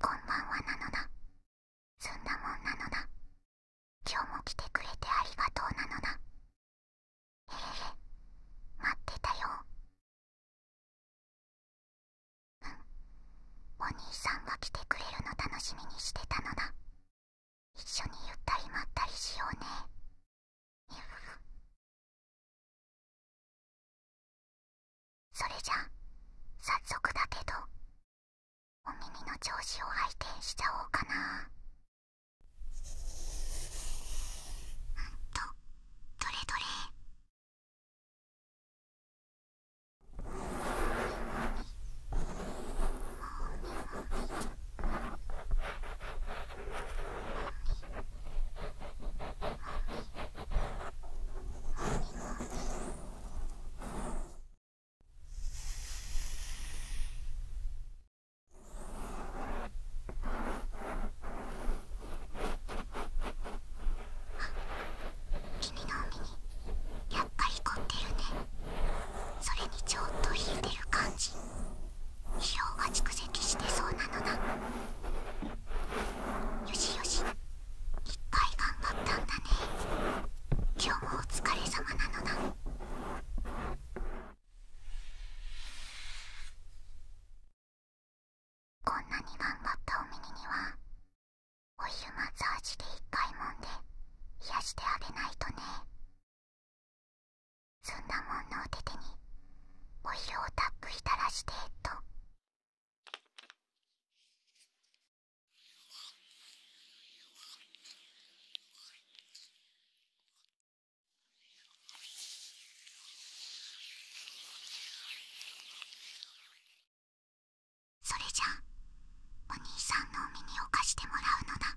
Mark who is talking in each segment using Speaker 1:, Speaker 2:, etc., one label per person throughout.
Speaker 1: こんばんはなのだすんだもんなのだ今日も来てくれてありがとうなのだえへへ待ってたようんお兄さんが来てくれるの楽しみにしてたのだ一緒にゆったりまったりしようねそれじゃさっそくだけどお耳の調
Speaker 2: 子を拝見しちゃおうかなうんとどれどれあ、君の耳にやっぱり凝ってるねそれにちょっと引いてる感じ疲労が蓄積してそうなのだよしよし一回頑張ったんだね
Speaker 1: 今日もお疲れ様なのだ
Speaker 2: こんなに頑
Speaker 1: 張ったお耳にはお湯マッサージで一回もんで癒してあげないとねそんなもんのお手手に
Speaker 2: お色をたっぷいたらしてと。それじゃお兄さんのお耳を貸してもらうのだ。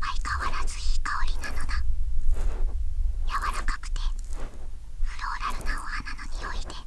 Speaker 2: 相変わらずいい香りなのだ柔らかくてフローラルなお花の匂いで「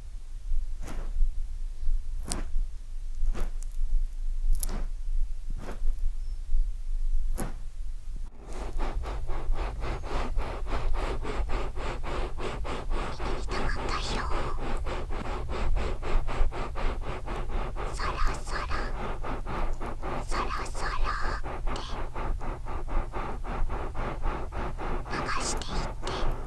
Speaker 2: きたかったよそらそらそらそらって流していって。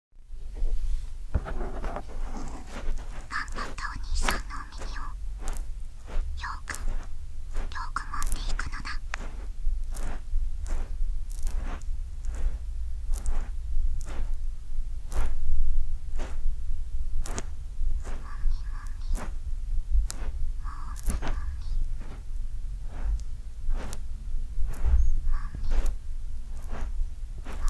Speaker 2: 頑張ったお兄さんのお耳をよくよく揉んでいくのだ。もみもみもみもみもみもみもみもみもみもみもみ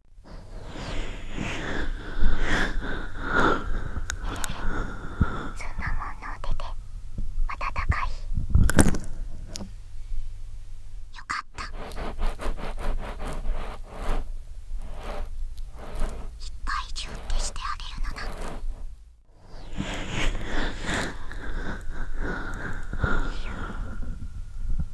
Speaker 2: の出て暖かいよかったいっぱいギュッてしてあげるのだ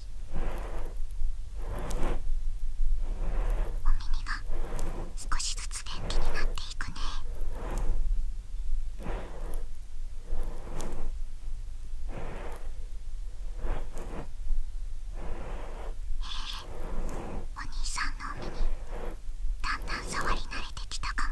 Speaker 2: お耳が少しずつ元気になっていくねえお兄さんのお耳だんだん触り慣れてきたかも。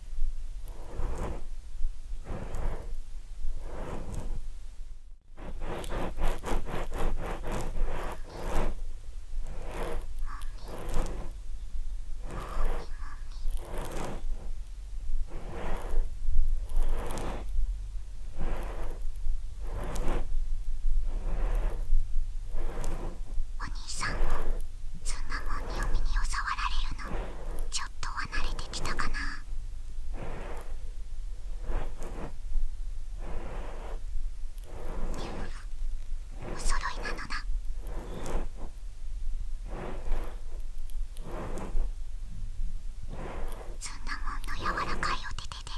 Speaker 2: お兄さんもそんなもんにお耳をわられるのちょっとは慣れてきたかなニューお揃いなのだそんなもんの柔らかいお手手で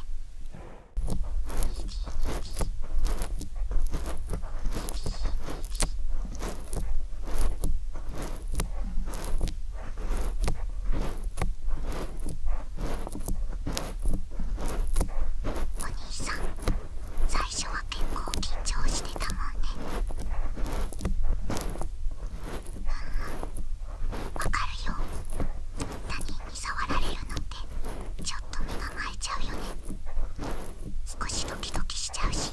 Speaker 2: お兄さん最初は結構緊張してたもんねわかるよ他人に触られるのってちょっと身構えちゃうよね少しドキドキしちゃうし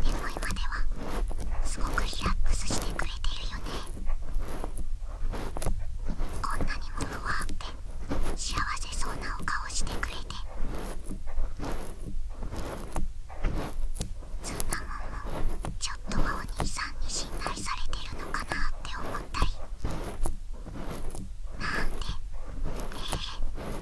Speaker 2: 眠いまではすごくリラックスしてくれてるよねこんなにもふわって幸せそうなお顔してくれてずんなもんもちょっとはお兄さんに信頼されてるのかなって思ったりなんてね。え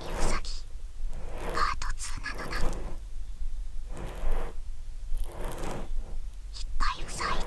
Speaker 2: 右ふさぎパート2なのな。いっぱいふさいで。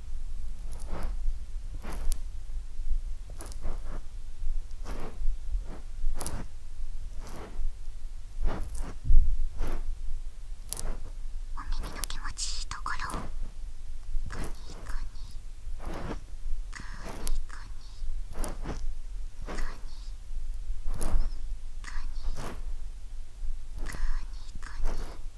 Speaker 2: お耳の気持ちいいところをグニグニグニグニグニグニグニグニグニ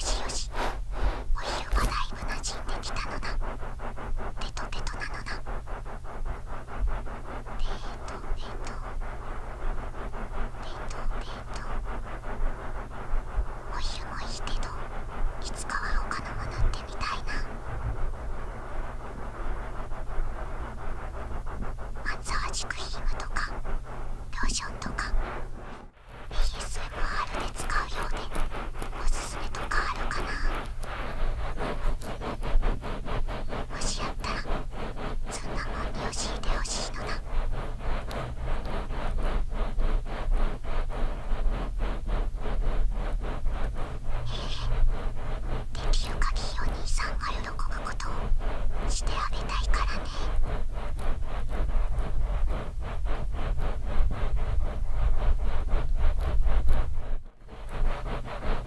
Speaker 2: しよしお昼がだいぶ馴染んできたのだペトペトなのだでお昼もいいけどいつかは他のものってみたいなマッサージクリームとかローションとか ASMR で使うようでおすすめとかあるかなもしやったらそんなもんにしえてほしいのだええできる限りお兄さんが喜ぶことをしてあげたいからねく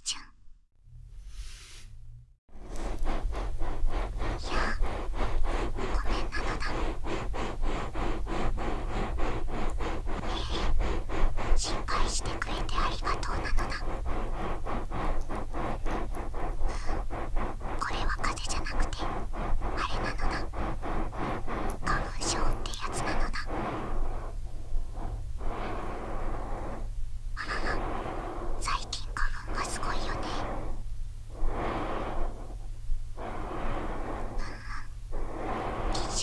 Speaker 1: ちゃんいやごめんな
Speaker 2: のだええ心配してくれてありがとうなのだこれは風邪じゃなくてあれなのだ花粉症ってやつなのだあらら最近花粉がすごいよねうん、機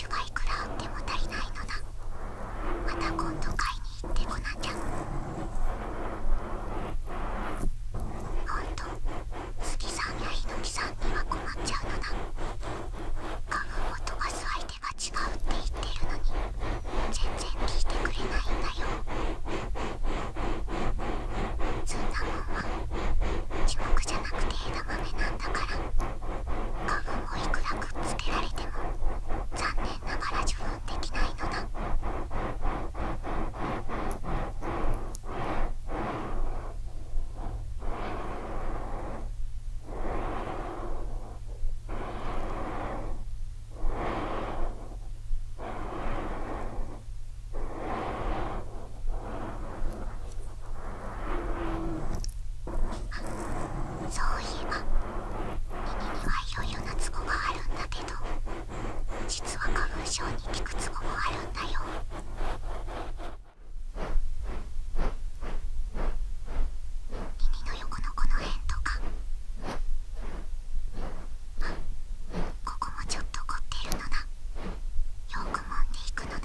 Speaker 1: 種がいくらあっても足りないのだまた今度買いに行ってこ
Speaker 2: なきゃほんと杉さんや猪木さんには困っちゃうのだ花粉を飛ばす相手が違うって言ってるのに全然聞いてくれないんだよ積んだもんは地獄じゃなくて枝豆なんだから花粉をいくらくっつけられても残念ながら受粉できないのだそういえば耳にはいろなツボがあるんだけど実は花粉症に効くツボもあるんだよ耳の横のこの辺とか。ここもちょっと凝ってるのだ。よくもんでいくのなこ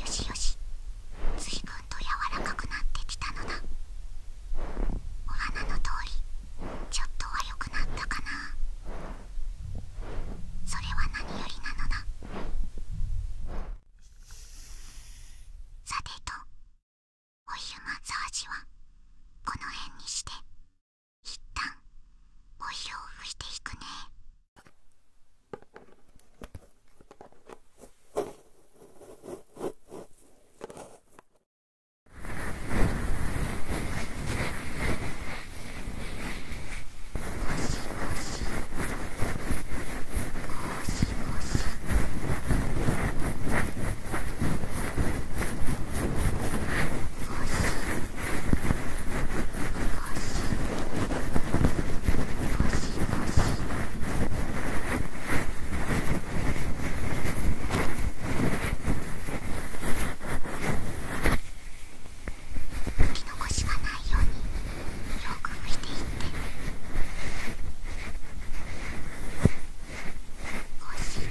Speaker 2: よしよしずいぶんと柔らかくなってきたのだお花の通りちょっとは良くなっ
Speaker 1: たかなそれは何よりなのださてとお湯マ
Speaker 2: ッサージはこの辺にしていったん、イルを拭していくねゴシゴシゴシゴシゴシき残しがないようによく拭いていってゴシゴ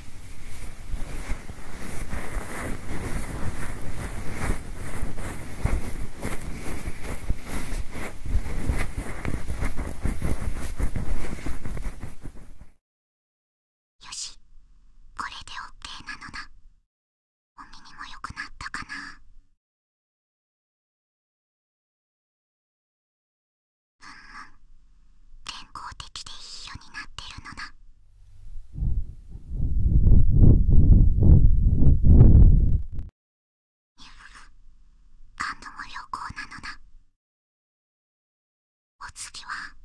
Speaker 1: よしこれで OK なのだお耳も良くなったかなんん、健康的でいい世になってるのだ感度も良好なのだお次は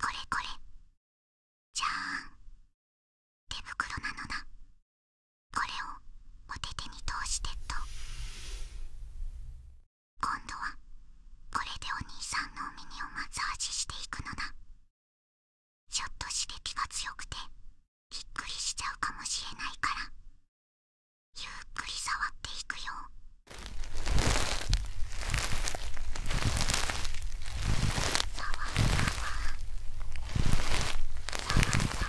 Speaker 1: これこれじゃーん手袋なのだこれをお手手に通してと今度はこれでお兄
Speaker 2: さんのお耳をマッサージしていくのだちょっと刺激が強くてびっくりしちゃうかもしれないからゆっくり触っていくよ触わ触わ触わ触わ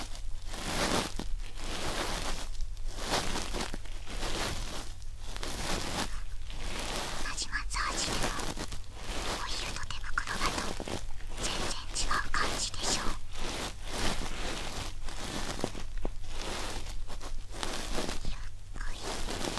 Speaker 2: じまつー。ジでもオイルと手袋だと全然違う感じでしょうゆっくりゆっくり。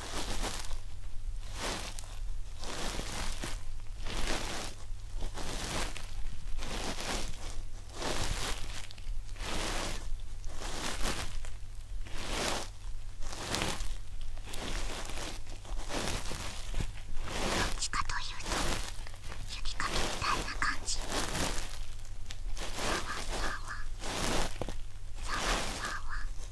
Speaker 2: どっちかというと雪かきみたいな
Speaker 1: 感じさわさわさわさ
Speaker 2: わ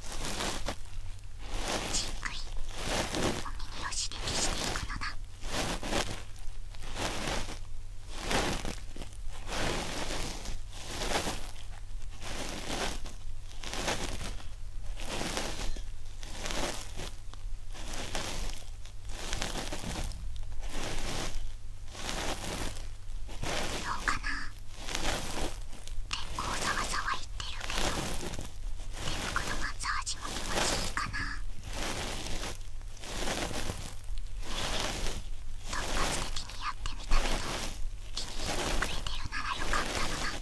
Speaker 2: じっくりお耳を刺激していくのだどうかな結構ざわざわいってるけど手袋マッサージも気持ちいいかな突発的にやってみたけど気に入ってくれてるならよかったのな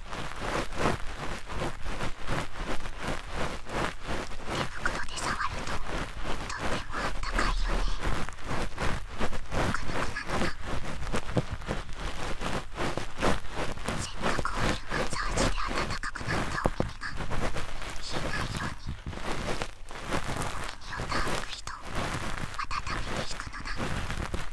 Speaker 2: 袋で触るととってもあったかいよねくぬくなのだ。せっかくオイルマッサージで温かくなったお耳が冷えないようにお耳をたっぷりと温めていくのだ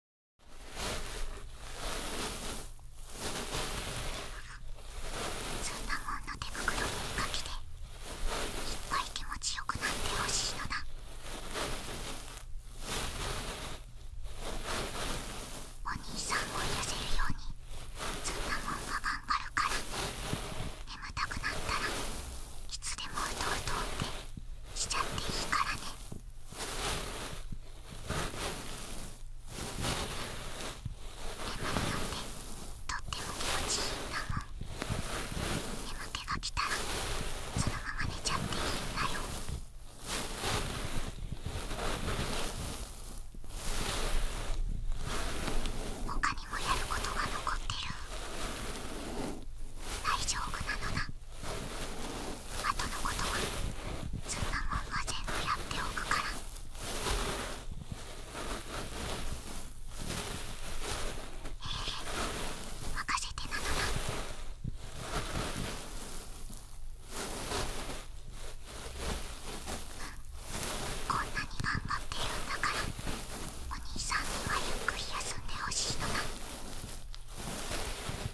Speaker 2: そんなもんの手袋にかけていっぱい気持ちよくなってほしいのだお兄さんを痩せるようにそんなもんが頑張るから眠たくなったらいつでもうとうとうってしちゃっていいからねの眠ってとっても気持ちいいんだもん眠気が来たらそのまま寝ちゃっていいんだよ他にもやることが残ってる大丈夫なのだあとのことはそんなもんは全部やっておくから。ええ任せてなのだこんなに頑張ってるんだからお兄さんにはゆっくり休んでほしいのだ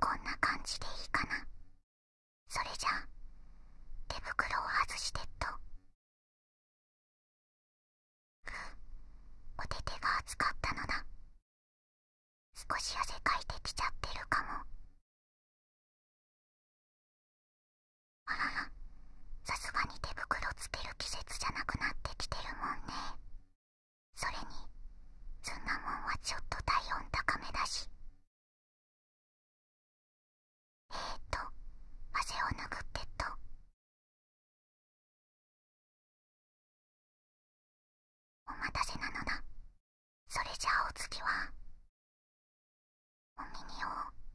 Speaker 1: こんな感じでいいかなそれじゃあ手袋を外してっとっ、お手手が熱かったのだ少し汗かいてきちゃってるかもあららさすがに手袋つける季節じゃなくなってきてるもんねそれにそんなもんはちょっと体温高めだしえー、っと汗を拭ってっとお待たせなのだそれじゃあお次はお耳を。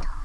Speaker 1: トン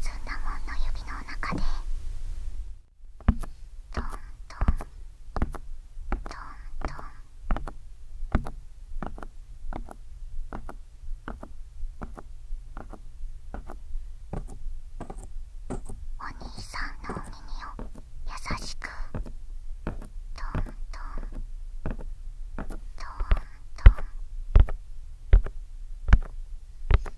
Speaker 1: そんなもんの指の中でトントントントンお兄さんのお耳を優しくトントントントン。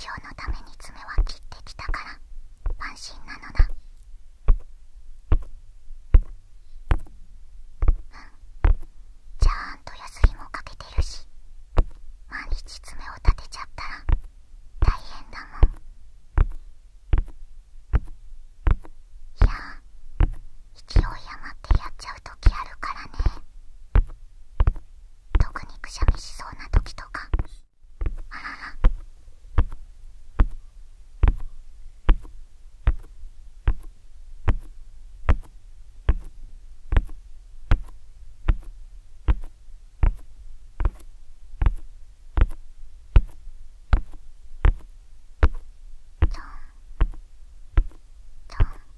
Speaker 1: 今
Speaker 2: 日のために爪は切ってきたから安心なのだうんちゃんとヤスリもかけてるし毎日爪を立てちゃったら大変だもんいや勢い余ってやっちゃう時あるからね特にくしゃみしそうな時とかあららちょんち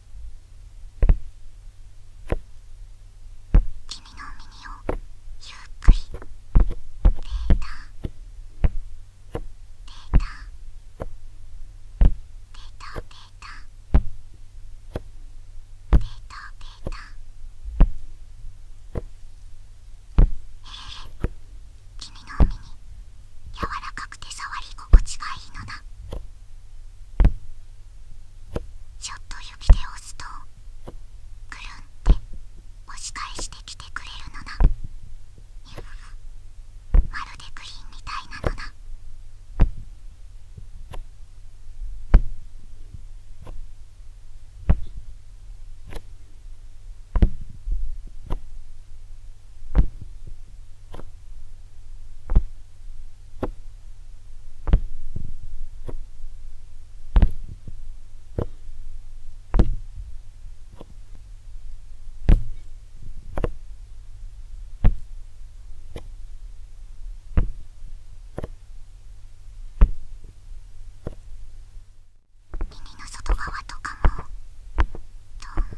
Speaker 2: 君の耳をゆっくりデータデータデータデータデーええ君みの海に柔らかくて触り心地がいいのだちょっと指で押すとくるんって押し返してきてくれるのだまるでグリーンみたいなのだ耳の外側とかもトントン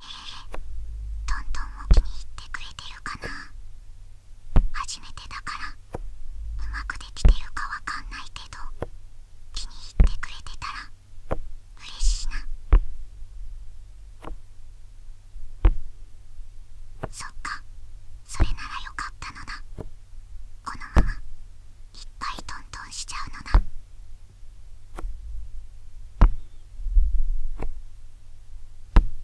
Speaker 2: トントンも気に入ってくれてるかな初めてだからうまくできてるかわかんないけど気に入ってくれてたら嬉しいなそっかそれならよかったのだこのままいっぱいトントンしちゃうのだ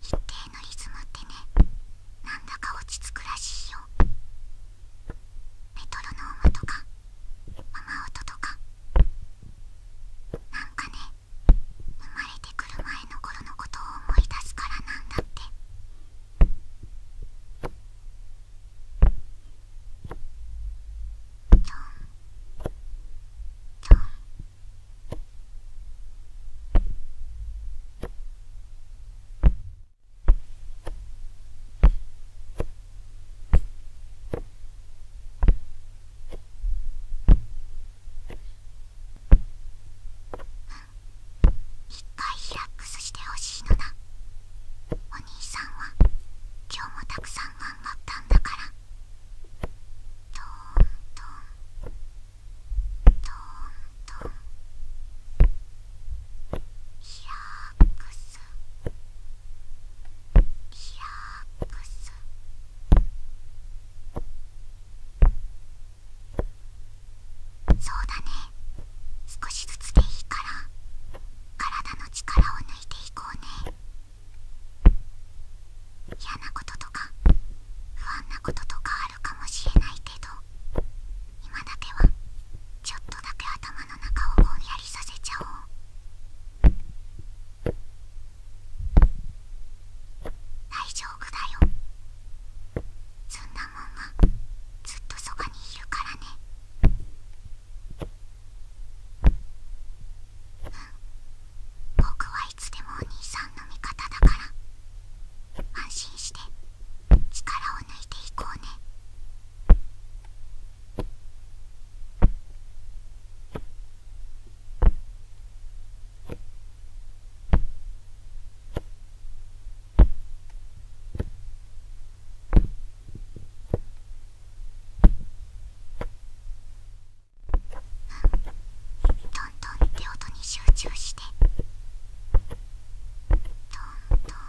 Speaker 2: 一定のリズムってねなんだか落ち着くらしいよメトロノームとか雨音とかなんかね生まれてくる前の頃のことを思い出すからなんだってドンドンうん。一回リラックスしてほしいのだお兄さんは今日もたくさん頑張ったんだからトントントントンリラックスリラックスそうだね少しずつでいいから体の力を抜いていこうね嫌なこととか不安なこととかあるかもしれないけど今だけはちょっとだけ頭の中をぼんやりさせちゃおう大丈夫だよそんなもんがずっとそばにいるからね僕はいつでもお兄さんの味方だから安心して力を抜いていこうねどんどんって音に集中してどんどん。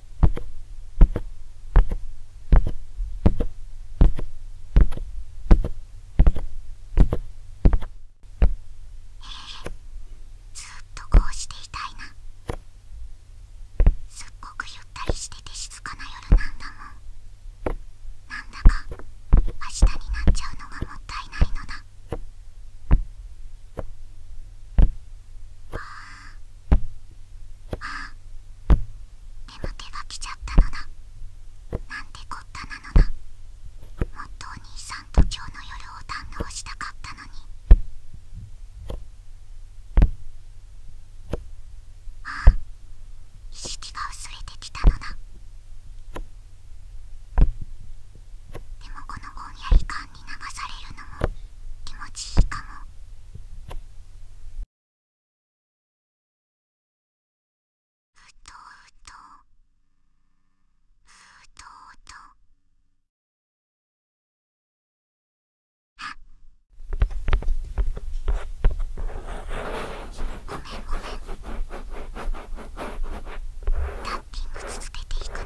Speaker 2: え、ずっとこうしていたいなすっごくゆったりしてて静かな夜なんだもんなんだか明日になっちゃうのがもったいないのだあああ眠気が来ちゃったのだなんてこったなのだもっとお兄さんと今日の夜を堪能したかったのにああ意識が薄れてきたのだでもこのぼんやり感に流されるのも気持ちいいかも。ふとふとふとふとあごめんごめんタッキング続けていくね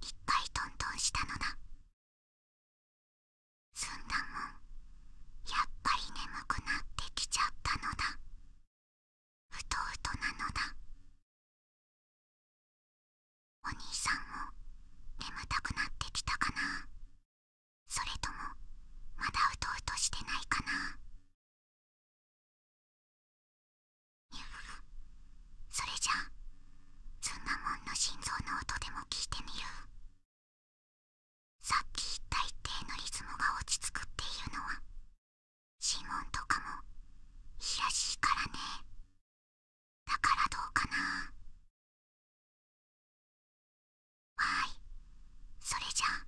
Speaker 1: 一回トントンしたのだすんだもんやっぱり眠くなってきちゃったのだうとうとなのだお兄さんも眠たくなってきたかなそれともまだうとうとしてないかなそれじゃあツンナモンの心臓の音でも聞いてみるさっき言った一定のリズムが落ち着くっていうのは指紋とかもいいしいからねだからどうかなはいそれじゃあ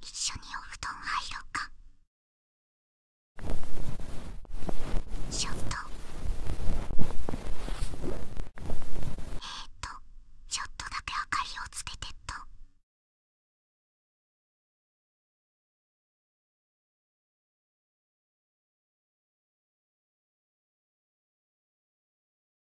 Speaker 1: 一緒にお布団入ろうかちょっとえーっとちょっとだけ明かりをつけてっと。へえ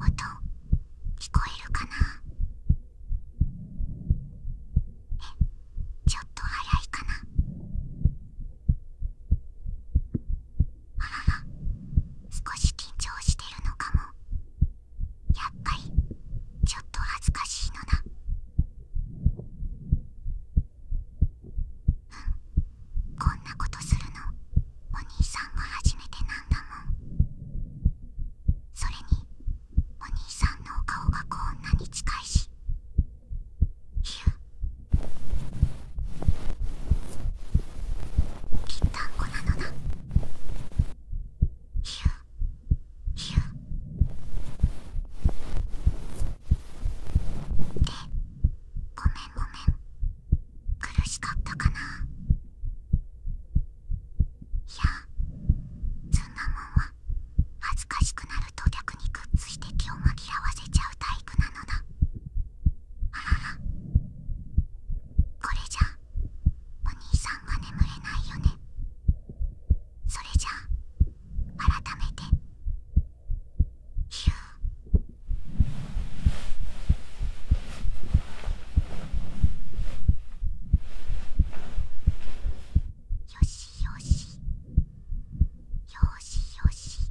Speaker 2: 音聞こえるかなえちょっと早いかなあらら少し緊張してるのかもやっぱりちょっと恥ずかしいのだうんこんなことするのお兄さんが初めてなんだもんそれにお兄さんのお顔がこんなに近いしきったんこなのだひゅひゅでごめんごめん苦しかったかないやそんなもんは恥ずかしくなると逆にくっついて気を紛らわせちゃう体育なのだあららこれじゃお兄さんが眠れないよねそれじゃあ改めてヒューよしよし。よしよし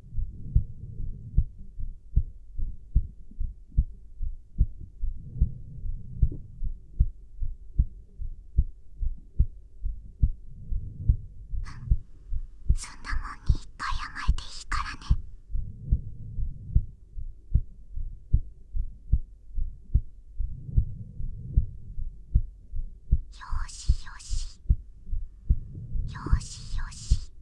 Speaker 2: うん、そんなもんに一回甘えていいからねよしよしよしよし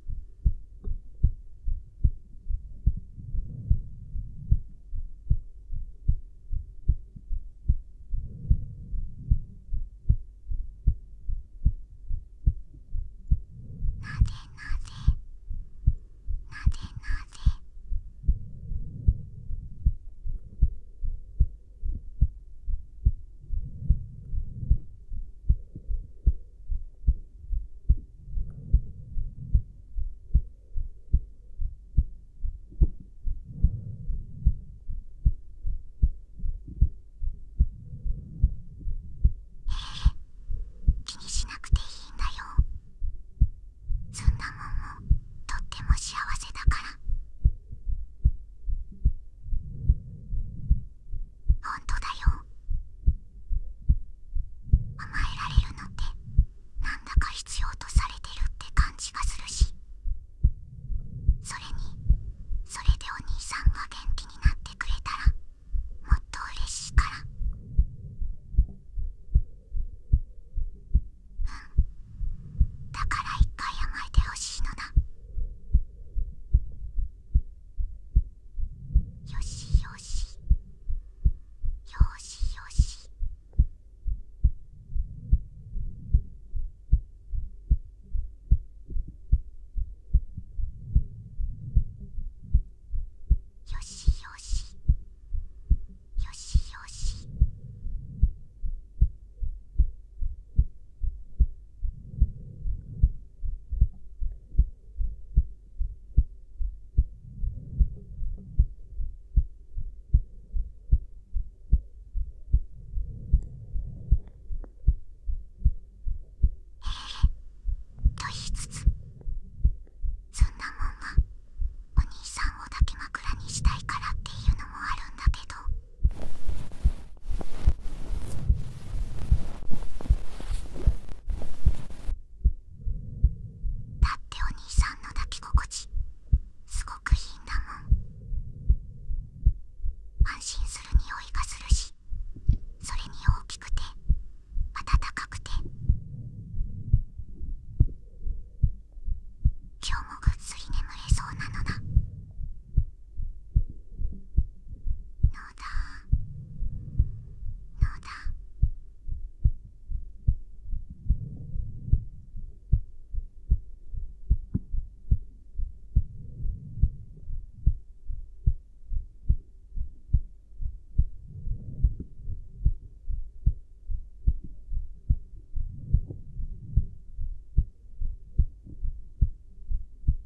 Speaker 2: なぜなぜなぜなぜ「気にしなくていいんだよそんなもんもとっても幸せだからほんとだよ甘えられるのってなんだか必要とされてるって感じがするしそれにそれでお兄さんが元気になってくれたらもっと嬉しいからうんだから一回甘えてほしいのだよしよしよしよしよしよしよしよしよええと言いつつそんなもんが、お兄さんを抱き枕にしたいからっていうのもあるんだけどだってお兄さんの抱き心地すごくいいんだもん安心する匂いがするしそれに大きくて暖かくて今日もぐっすり眠れそうなのだ野田野田。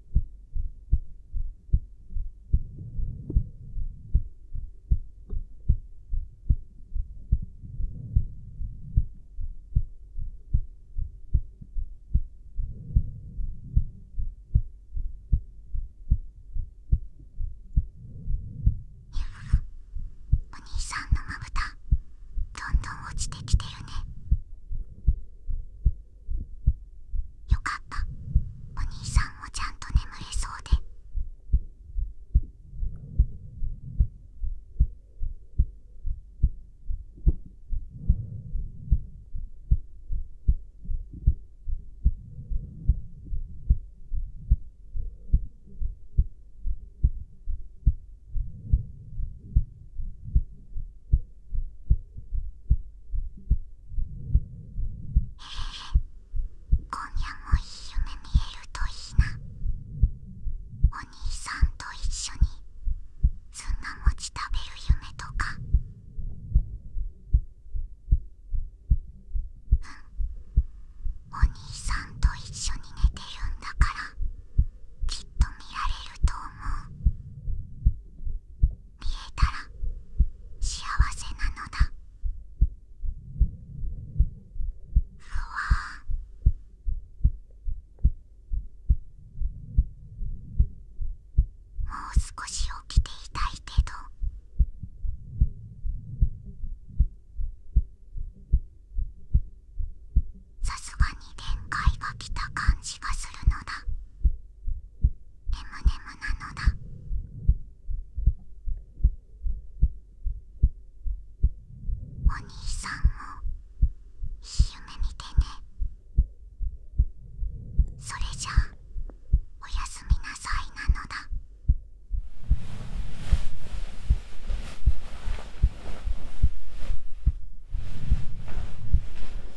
Speaker 2: お兄さんのまぶたどんどん落ちてきてるね。よかったお兄さんもちゃんと眠れそうでえ今夜もいい夢見えるといいなお兄さんと一緒にずんな餅食べる夢とかうんお兄さんと一緒に寝てるんだからきっと見られると思う見えたら幸せなのだふわもう少し起きていたいけどさすがに限界が来た感じがするのだねむねむなのだお兄さんもいい夢見てねそれじゃあおやすみなさいなのだ